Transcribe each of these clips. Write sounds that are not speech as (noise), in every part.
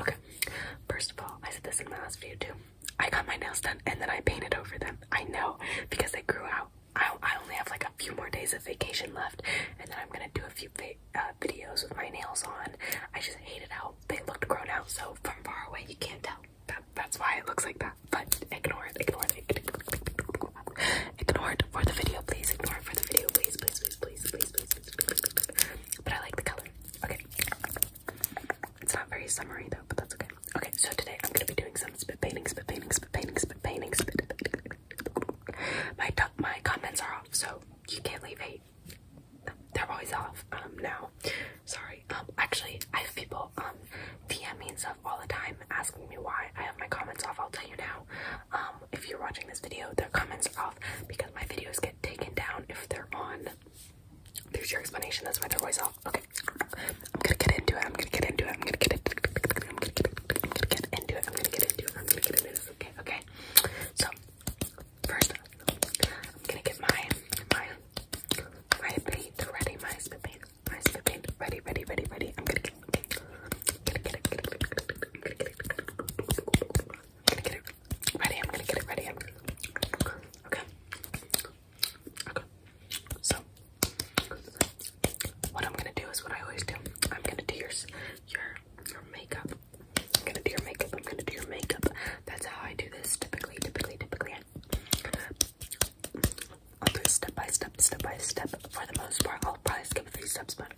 Okay. First of all, I said this in my last video too. I got my nails done and then I painted over them. I know because they grew out. I, I only have like a few more days of vacation left, and then I'm gonna do a few uh, videos with my nails on. I just it how they looked grown out, so from far away you can't tell that, that's why it looks like that. But ignore it, ignore it, ignore it for the video, please. Ignore it for the video, please, please, please, please, please, please, please, please, please, please. But I like the color. Okay. It's not very summery though, but that's okay. Okay, so today I'm gonna be doing some spit painting, spit painting, spit painting, spit painting, spit painting. My my comments are off, so you can't leave hate. They're always off um, now. Sorry. Um, actually, I have people um DM me and stuff all the time asking me why I have my comments off. I'll tell you now. Um, if you're watching this video, their comments are off because my videos get taken down if they're on. There's your explanation. That's why they're always off. Okay. I'm gonna get into it. I'm gonna get into it. I'm gonna get into it. I'm gonna get into it. I'm gonna get into it. I'm gonna get into this. Okay. Okay. So first, I'm gonna get my my my plate ready. My spit plate. First, okay, ready, ready, ready, ready. I'm gonna get it. Get it, get it, get it, get it, get it, get it, get it, get it. Ready, I'm gonna get it ready. I'm gonna... Okay. Okay. So what I'm gonna do is what I always do. I'm gonna do your your your makeup. I'm gonna do your makeup. I'm gonna do your makeup. That's how I do this typically, typically, typically i step by step, step by step. For the most part, I'll probably skip a few steps, but,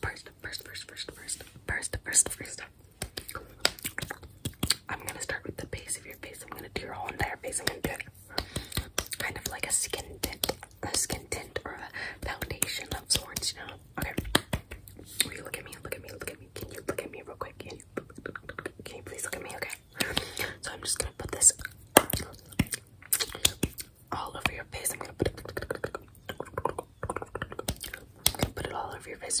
first, first, first, first, first, first, first, first. I'm gonna start with the base of your face. I'm gonna do your whole entire face. I'm gonna do it kind of like a skin tint, a skin tint or a foundation of sorts, you know? Okay. Will you look at me? Look at me. Look at me. Can you look at me real quick? can you please look at me, okay? So I'm just gonna put this all over your face. I'm gonna put it, all over your face.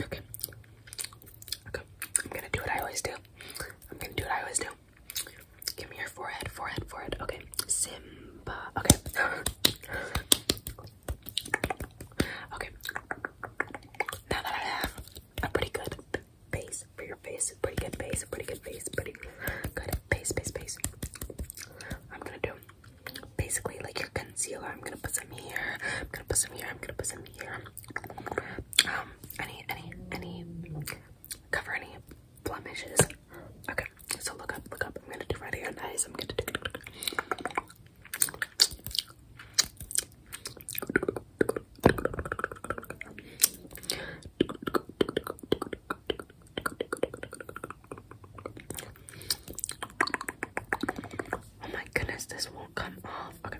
Okay. Okay. I'm gonna do what I always do. I'm gonna do what I always do. Give me your forehead, forehead, forehead. Okay. Simba. Okay. okay. Now that I have a pretty good face for your face, pretty good face, pretty good face, pretty good face, base, base. I'm gonna do basically like your concealer. I'm gonna put some here. I'm gonna put some here. I'm gonna put some here. Um, any, any, any, cover any blemishes. Okay, so look up, look up. I'm gonna do right here. Nice. I'm gonna do. Oh my goodness, this won't come off. Okay.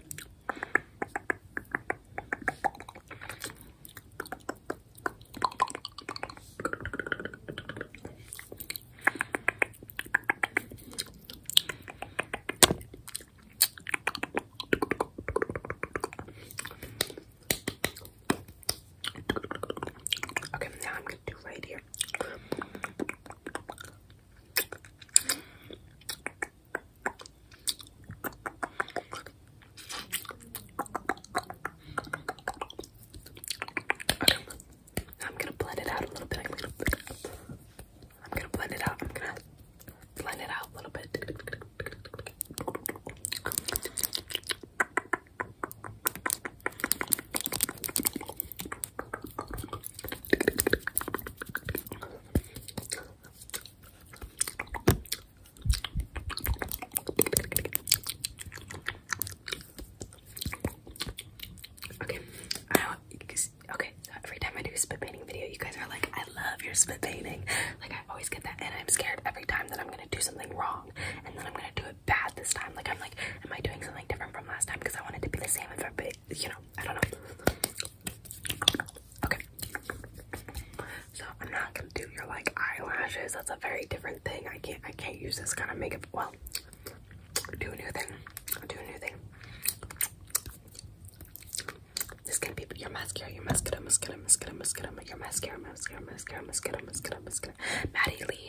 Okay, now I'm right here. I'm gonna blend it out a little bit. I'm gonna blend it out. I'm gonna blend it out a little bit. Okay, okay, every time I do spit painting video, you guys are like, I love your spit painting. Like, I always get that, and I'm scared every time that I'm gonna do something wrong, and then I'm gonna do it bad this time. Like I'm like, am I doing something different from last time? Because I want it to be the same if I, but you know, I don't know. Okay. So I'm not gonna do your like eyelashes. That's a very different thing. I can't. I can't use this kind of makeup. Well, do a new thing. Do a new thing. This can be your mascara, your mascara, mascara, mascara, mascara, your mascara, mascara, mascara, mascara, mascara, mascara. Maddie Lee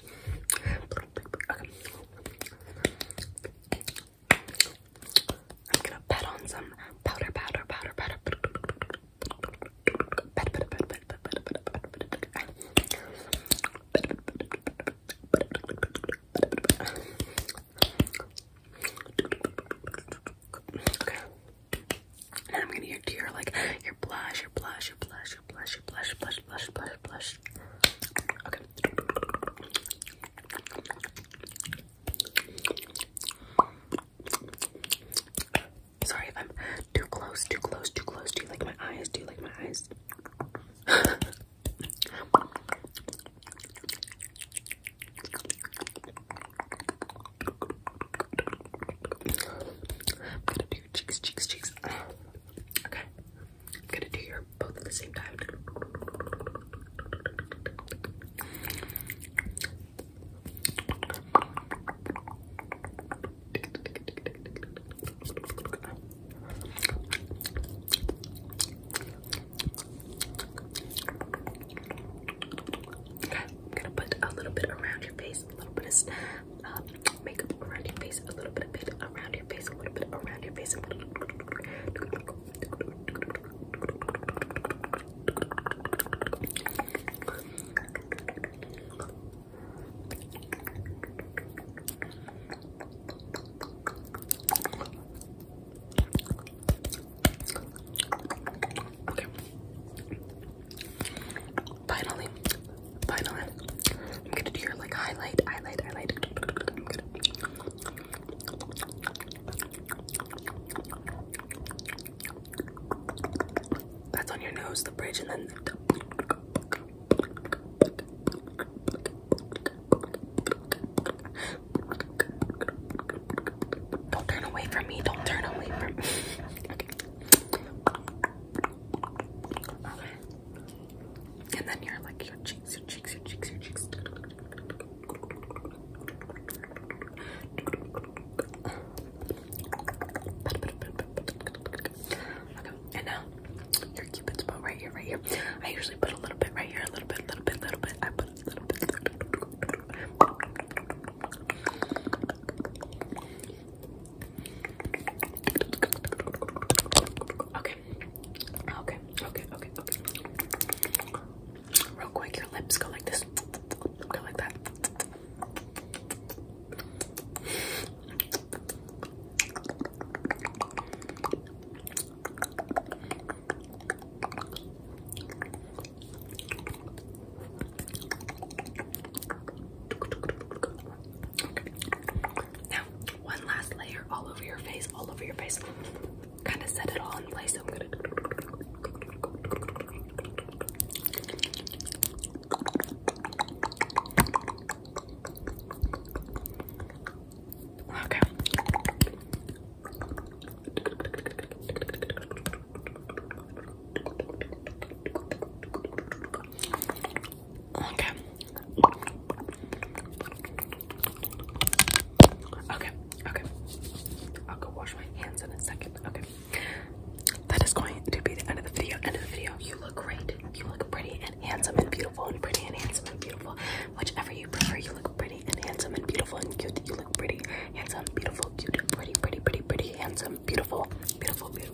Okay. I'm gonna pat on some powder, powder, powder, powder. Okay. And I'm gonna do your like your blush, your blush, your blush, your blush, your blush, your blush, blush, blush, blush, Okay. Sorry if I'm too close, too close, too close. Do you like my eyes? Do you like my eyes? cheeks, cheeks, cheeks. Okay. I'm gonna do your both at the same time. Okay, I'm gonna put a little bit around your face, a little bit of makeup around your face, a little bit, a bit around your face, a little bit around your face. Finally, final end. I'm gonna do your like highlight, highlight, highlight. I'm gonna that's on your nose, the bridge, and then don't turn away from me. Don't turn away from me. (laughs) okay. And then you're like your cheeks, your cheeks, your cheeks, your cheeks. And now your cupid's bow right here, right here. I usually put a little bit right here, a little bit, little bit, little bit. I put Okay. Okay. Okay. Okay. Okay. Real quick, your lips go like this. Go like that. Now, one last layer all over your face, all over your face. Kind of set it all in place. Okay. Okay. Okay, okay. I'll go wash my hands in a second. Okay. That is going to be the end of the video. End of the video. You look great. You look pretty and handsome and beautiful and pretty and handsome and beautiful. Whichever you prefer, you look pretty and handsome and beautiful and cute. You look pretty, handsome, beautiful, cute, pretty, pretty, pretty, pretty, handsome, beautiful, beautiful, beautiful